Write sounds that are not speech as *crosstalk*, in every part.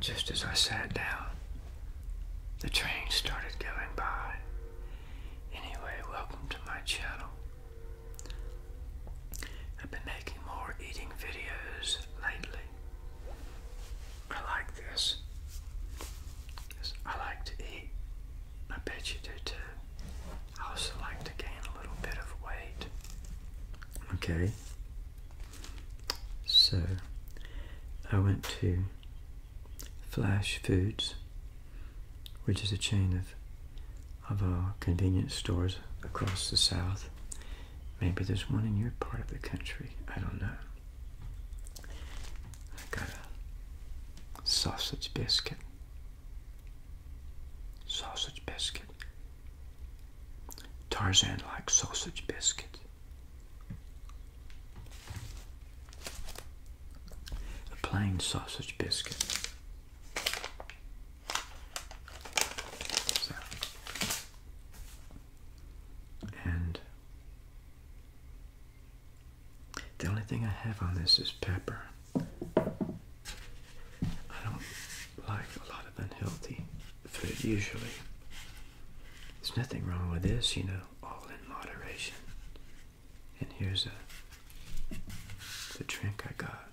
Just as I sat down, the train started going by. Anyway, welcome to my channel. I've been making more eating videos lately. I like this. I like to eat. I bet you do too. I also like to gain a little bit of weight. Okay. So I went to Flash Foods, which is a chain of, of our convenience stores across the South. Maybe there's one in your part of the country. I don't know. I got a sausage biscuit. Sausage biscuit. Tarzan likes sausage biscuit. A plain sausage biscuit. And the only thing I have on this is pepper. I don't like a lot of unhealthy food usually. There's nothing wrong with this, you know, all in moderation. And here's a the drink I got.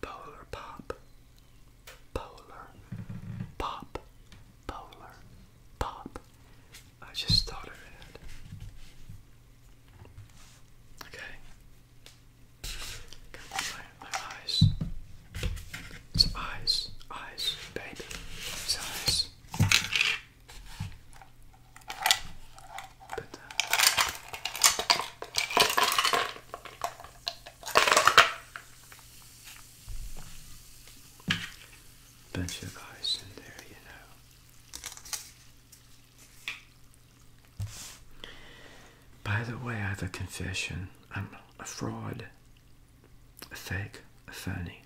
Polar pop. Polar pop. Polar pop. I just thought it. Okay. My, eyes. It's eyes. Eyes, baby. It's eyes. bunch of eyes in there, you know. By the way, I have a confession. I'm a fraud, a fake, a phony.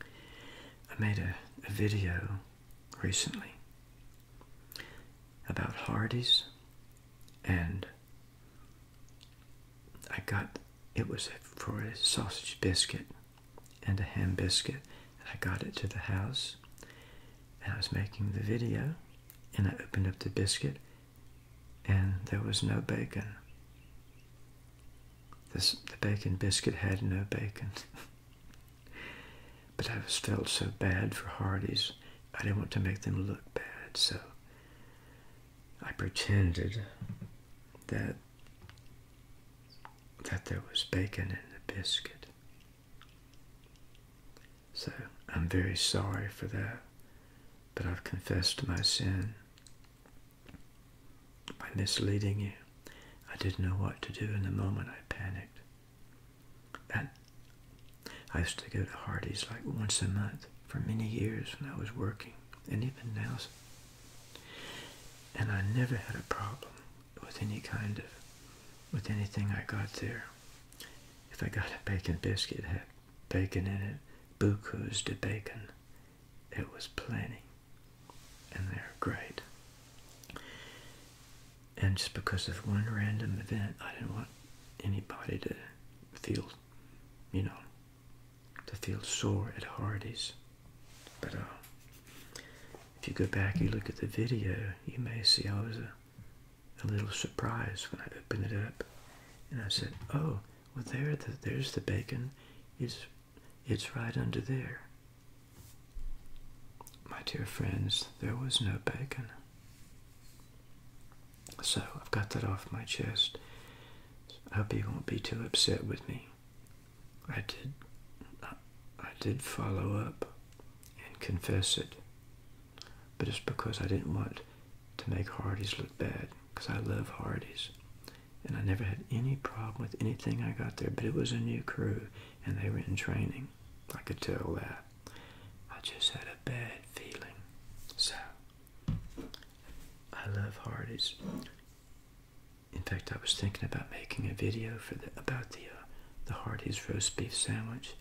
I made a, video recently about Hardee's, and I got it was for a sausage biscuit and a ham biscuit, I got it to the house, and I was making the video, and I opened up the biscuit, and there was no bacon. the bacon biscuit had no bacon. *laughs* but I was felt so bad for Hardy's, I didn't want to make them look bad, so I pretended that that there was bacon in the biscuit. So I'm very sorry for that. But I've confessed my sin by misleading you. I didn't know what to do in the moment I panicked. That I used to go to Hardy's like once a month for many years when I was working and even now. And I never had a problem with any kind of, with anything I got there. If I got a bacon biscuit, had bacon in it, bukus de bacon. It was plenty. And they're great. And just because of one random event, I didn't want anybody to feel, you know, to feel sore at Hardee's. But uh, if you go back, you look at the video, you may see I was a a little surprised when I opened it up, and I said, "Oh, well there, there's the bacon. It's it's right under there." My dear friends, there was no bacon. So I've got that off my chest. I hope you won't be too upset with me. I did, I did follow up and confess it but it's because I didn't want to make Hardee's look bad because I love Hardee's. And I never had any problem with anything I got there, but it was a new crew and they were in training. I could tell that. I just had a bad feeling. So, I love Hardee's. In fact, I was thinking about making a video for the, about the uh, the Hardee's roast beef sandwich,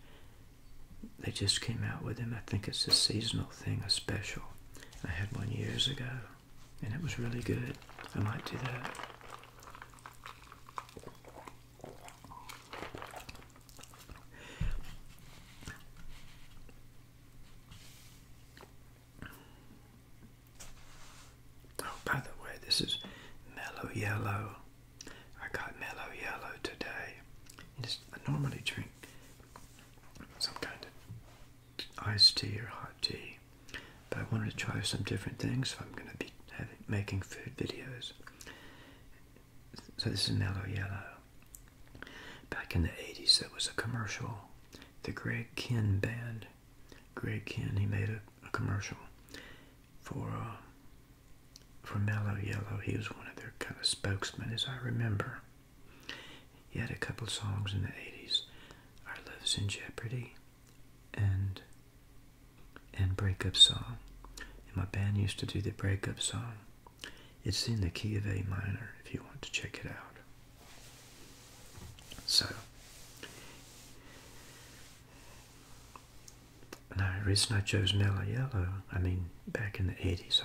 they just came out with them. I think it's a seasonal thing, a special. I had one years ago, and it was really good. I might do that. Oh, by the way, this is mellow yellow. I got Mellow Yellow today. It's, I normally drink some kind of iced tea or hot tea, but I wanted to try some different things, so I'm going to be making food videos. So this is Mellow Yellow. Back in the 80s, there was a commercial. The Greg Kinn band. Greg Kinn, he made a commercial for uh, for Mellow Yellow. He was one of their kind of spokesmen, as I remember. He had a couple songs in the '80s, "Our Love's in Jeopardy," and and breakup song. And my band used to do the breakup song. It's in the key of A minor if you want to check it out. So, now, the reason I chose Mellow Yellow, I mean, back in the 80s,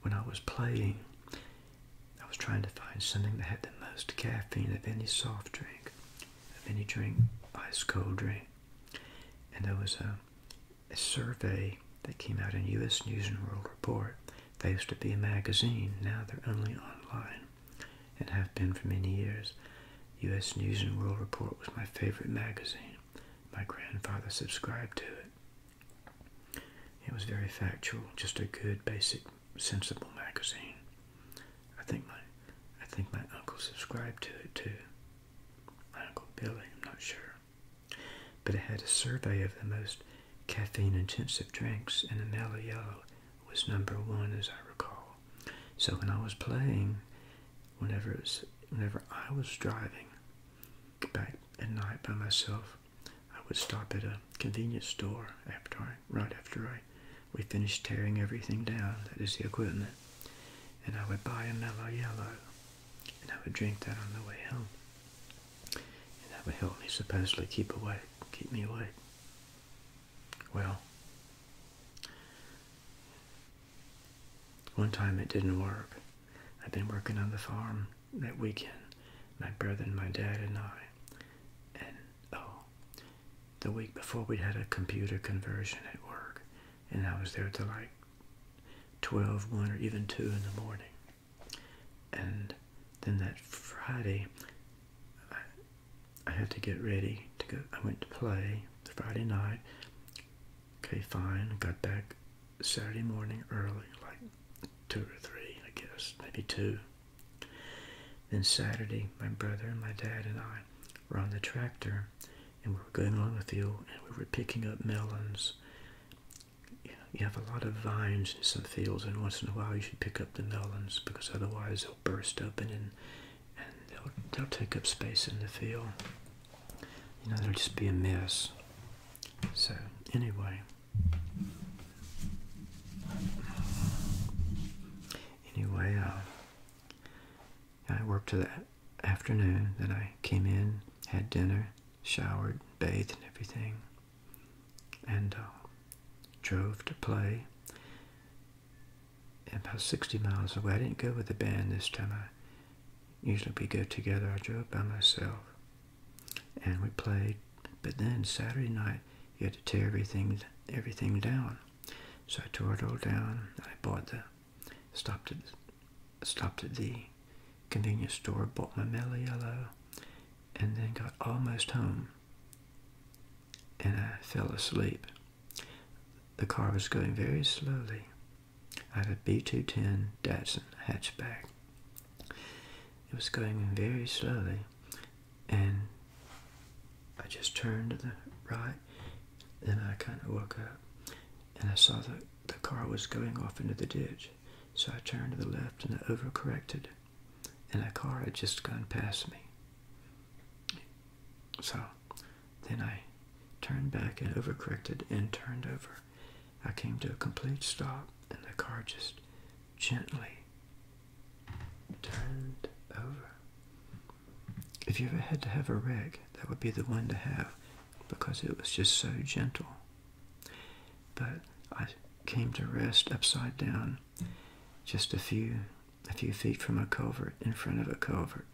when I was playing, I was trying to find something that had the most caffeine of any soft drink, of any drink, ice cold drink. And there was a, a survey that came out in U.S. News and World Report. They used to be a magazine, now they're only online and have been for many years. U.S. News and World Report was my favorite magazine. My grandfather subscribed to it. It was very factual, just a good, basic, sensible magazine. I think my I think my uncle subscribed to it too. My uncle Billy, I'm not sure. But it had a survey of the most caffeine intensive drinks and an yellow was number one as I recall. So when I was playing whenever it was, whenever I was driving back at night by myself, I would stop at a convenience store after I, right after I we finished tearing everything down, that is the equipment, and I would buy a mellow yellow, and I would drink that on the way home, and that would help me supposedly keep awake, keep me awake. Well, one time it didn't work. I'd been working on the farm that weekend, my brother and my dad and I. And oh, the week before we had a computer conversion at work, and I was there till like 12, 1, or even 2 in the morning. And then that Friday, I had to get ready to go. I went to play Friday night, Okay, fine. Got back Saturday morning early, like two or three, I guess, maybe two. Then Saturday, my brother and my dad and I were on the tractor and we were going along with you, and we were picking up melons. You have a lot of vines in some fields, and once in a while you should pick up the melons because otherwise they'll burst open and, and they'll, they'll take up space in the field you know, it'll just be a mess. So, anyway. Anyway, uh, I worked to the afternoon. Then I came in, had dinner, showered, bathed, and everything. And uh, drove to play about 60 miles away. I didn't go with the band this time. I usually we go together. I drove by myself and we played. But then Saturday night, you had to tear everything everything down. So I tore it all down. I bought the stopped at stopped at the convenience store, bought my mellow yellow, and then got almost home. And I fell asleep. The car was going very slowly. I had a B210 Datsun hatchback. It was going very slowly, and I just turned to the right, then I kind of woke up, and I saw that the car was going off into the ditch. So I turned to the left and I overcorrected, and a car had just gone past me. So then I turned back and overcorrected and turned over. I came to a complete stop and the car just gently turned over. If you ever had to have a wreck, that would be the one to have because it was just so gentle. But I came to rest upside down just a few a few feet from a covert in front of a covert.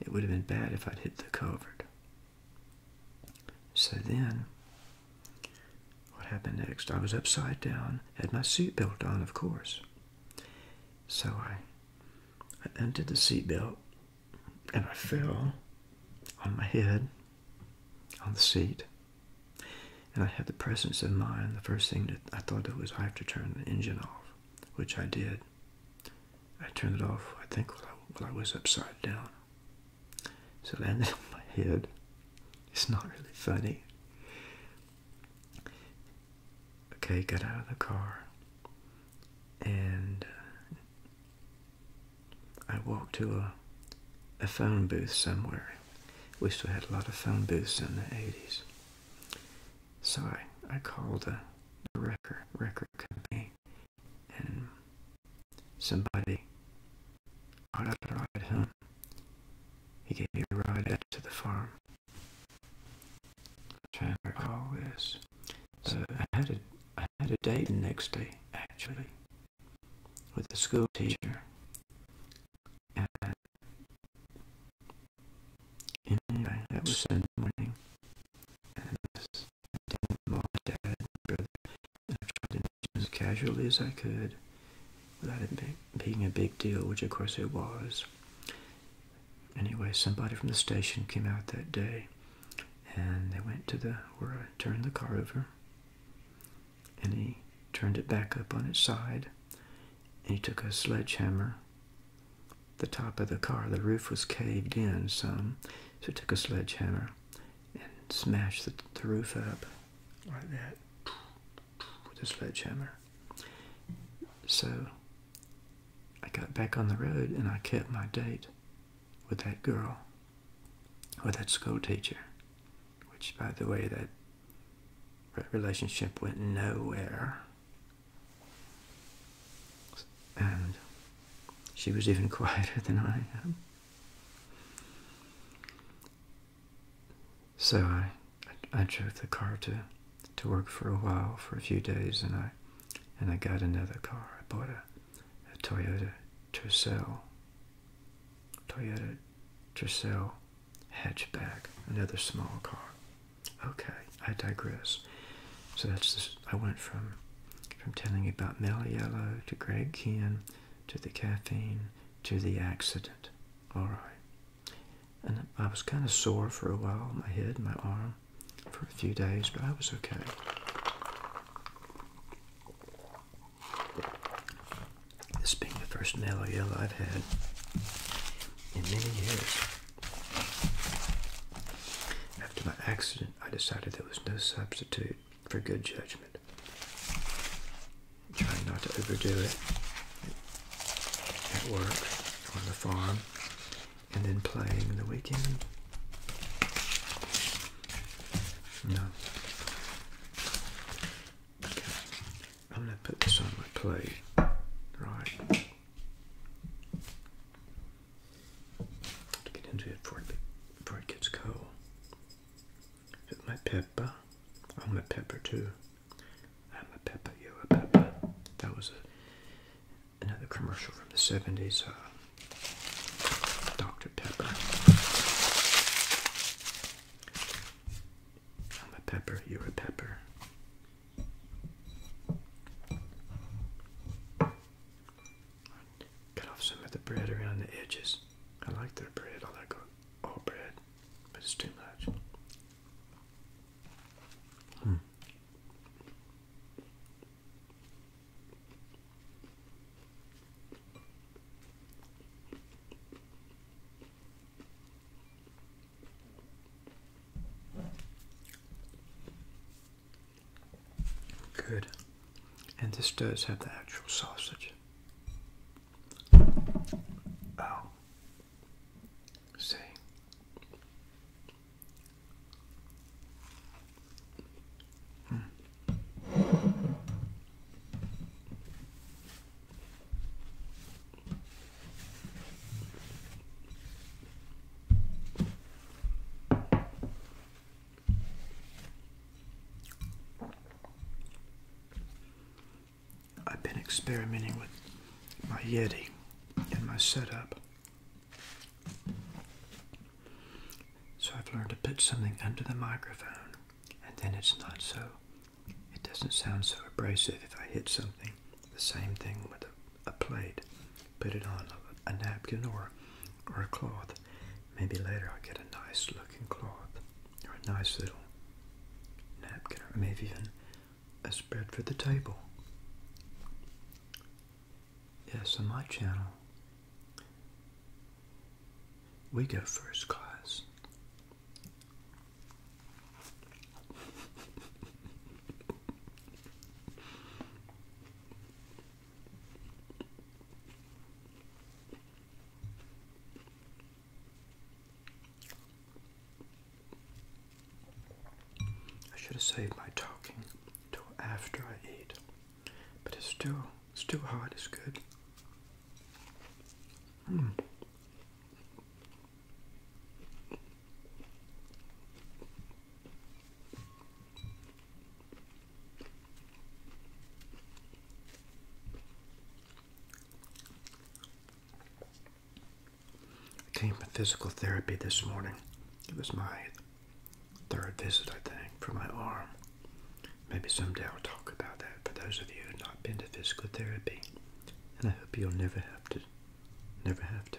It would have been bad if I'd hit the covert. So then, what happened next? I was upside down, had my seatbelt on, of course. So I, I undid the seatbelt and I fell on my head on the seat. And I had the presence of mind. The first thing that I thought of was I have to turn the engine off, which I did. I turned it off, I think, while I, was upside down. So it landed on my head. It's not really funny. Okay, got out of the car. And uh, I walked to a, a phone booth somewhere. We still had a lot of phone booths in the 80s. So I, I called a, record, record company and somebody got out ride home. He gave me a ride up to the farm. i trying to recall this. So I had a I had a date the next day, actually, with a school teacher. anyway, that was in as casually as I could without it being a big deal, which of course it was. Anyway, somebody from the station came out that day and they went to the where I turned the car over and he turned it back up on its side and he took a sledgehammer the top of the car. The roof was caved in some, so it took a sledgehammer and smashed the, roof up like that with a sledgehammer. So I got back on the road and I kept my date with that girl, with that schoolteacher, which, by the way, that relationship went nowhere. And she was even *laughs* quieter than I am. So I, I, drove the car to, to work for a while, for a few days, and I, and I got another car. I bought a, a Toyota Tercel, Toyota Tercel hatchback, another small car. Okay, I digress. So that's this. I went from from telling you about Mel Yellow to Greg Ken to the caffeine to the accident. All right. And I was kind of sore for a while, my head, my arm, for a few days, but I was okay. This being the first Mellow Yellow I've had in many years. After my accident, I decided there was no substitute for good judgment. Trying not to overdo it at work, on the farm, and then playing the weekend. No. I'm going to put this on my plate. Right to get into it before it, before it gets cold. With my pepper. I'm a pepper too. I'm a pepper, you a pepper. That was a, another commercial from the 70s. Uh, Dr. Pepper. I'm a pepper, you're a pepper. Cut off some of the bread around the edges. I like the bread. that like all bread, but it's too much. Hmm. Good. And this does have the actual sausage. Oh. See. Hmm. I've been experimenting with my Yeti and my setup. So I've learned to put something under the microphone and then it's not so, it doesn't sound so abrasive if I hit something the same thing with a, plate. Put it on a, a napkin or, or a cloth. Maybe later I'll get a nice looking cloth or a nice little napkin or maybe even a spread for the table. Yes, on my channel, we go first class. I should have saved my talking till after I eat, but it's still it's still hot. It's good. Hmm. I came for physical therapy this morning. It was my third visit, I think, for my arm. Maybe someday I'll talk about that for those of you who have not been to physical therapy. And I hope you'll never have to. Never have to.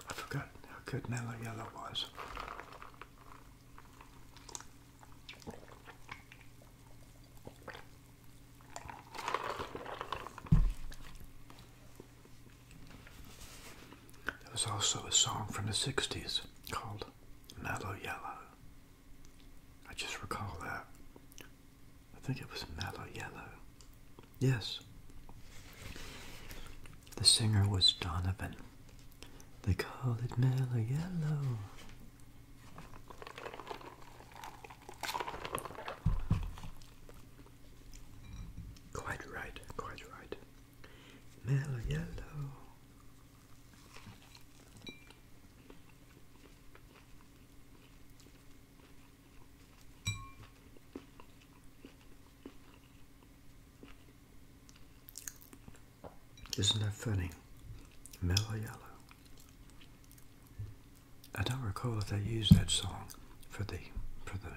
I forgot how good Mellow Yellow was. There was also a song from the 60s called Mellow Yellow. I just recall that. I think it was Mellow Yellow. Yes. The singer was Donovan. They call it Mellow Yellow. Quite right, quite right. Mellow yellow. Isn't that funny? Mellow yellow. I don't recall if they used that song for the for the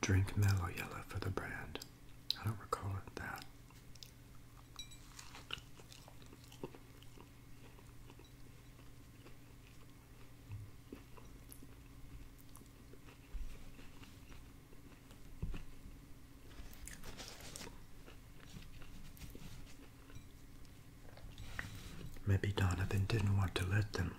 drink mellow yellow for the brand. I don't recall it that. Maybe Donovan didn't want to let them.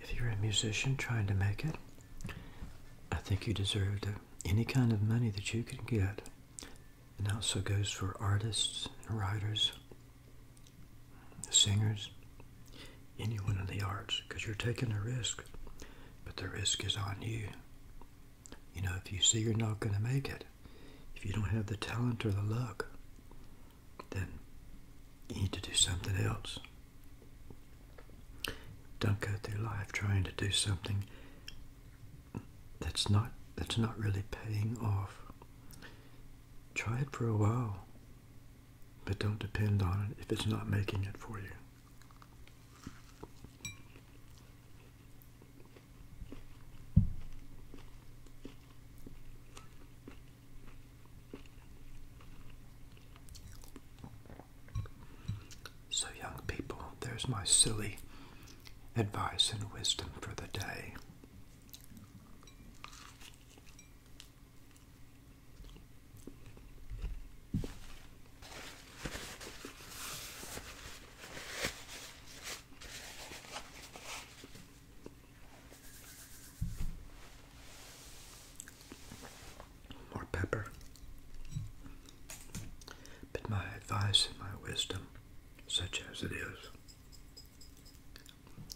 If you're a musician trying to make it, I think you deserve any kind of money that you can get. And also goes for artists and writers, singers, anyone in the arts, because you're taking a risk. But the risk is on you. You know, if you see you're not going to make it, if you don't have the talent or the luck, then you need to do something else. Don't go through life trying to do something that's not that's not really paying off. Try it for a while, but don't depend on it if it's not making it for you. So, young people, there's my silly advice and wisdom for the day. More pepper. But my advice and my wisdom, such as it is,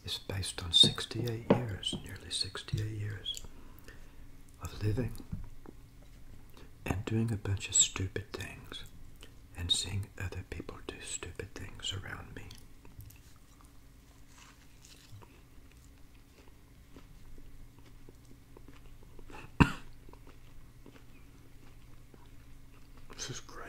is based on 68 years, nearly 68 years of living and doing a bunch of stupid things and seeing other people do stupid things around me. This is great.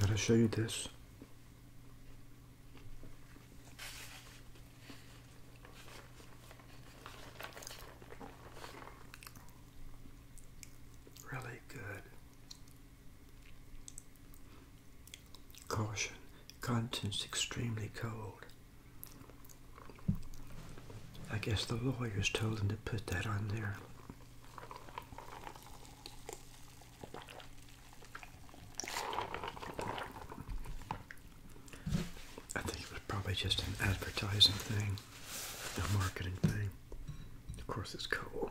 Let me show you this? Really good. Caution. Contents extremely cold. I guess the lawyers told him to put that on there. I think it was probably just an advertising thing, a marketing thing. Of course, it's cool.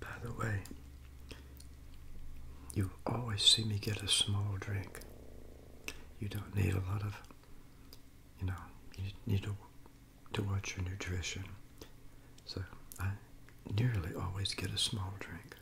By the way, you always see me get a small drink. You don't need a lot of, you know, you need to, to watch your nutrition. So I nearly always get a small drink.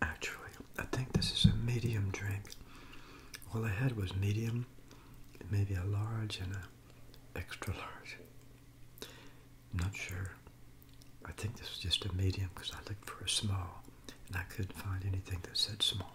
Actually, I think this is a medium drink. All I had was medium, maybe a large and a extra large. I'm not sure. I think this was just a medium because I looked for a small and I couldn't find anything that said small.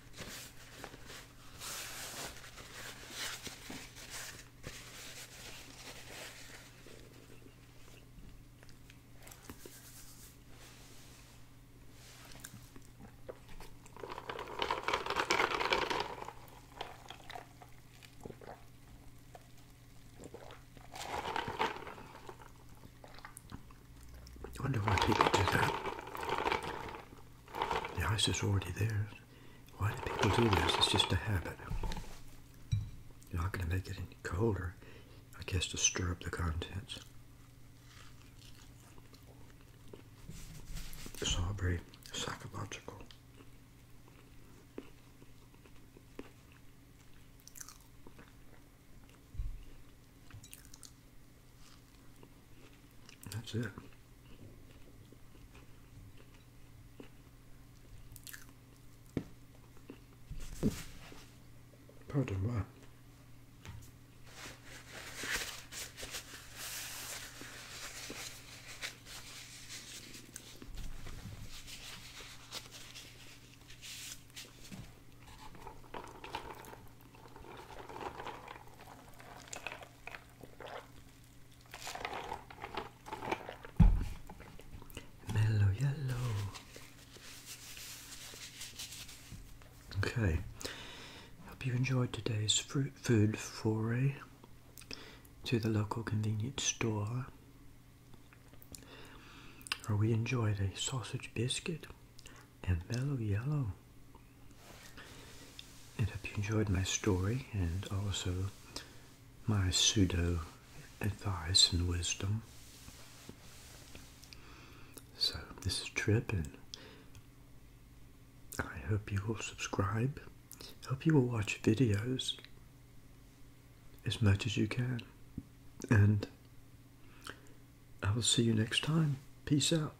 I wonder why people do that. The ice is already there. Why do people do this? It's just a habit. You're not going to make it any colder, I guess, to stir up the contents. It's all very psychological. That's it. Pardon me. Mellow yellow. Okay, hope you enjoyed today's fruit food foray to the local convenience store. Or we enjoyed a sausage biscuit, and mellow yellow. I hope you enjoyed my story and also my pseudo advice and wisdom. So, this is tripping. I hope you will subscribe. Hope you will watch videos as much as you can. And I will see you next time. Peace out.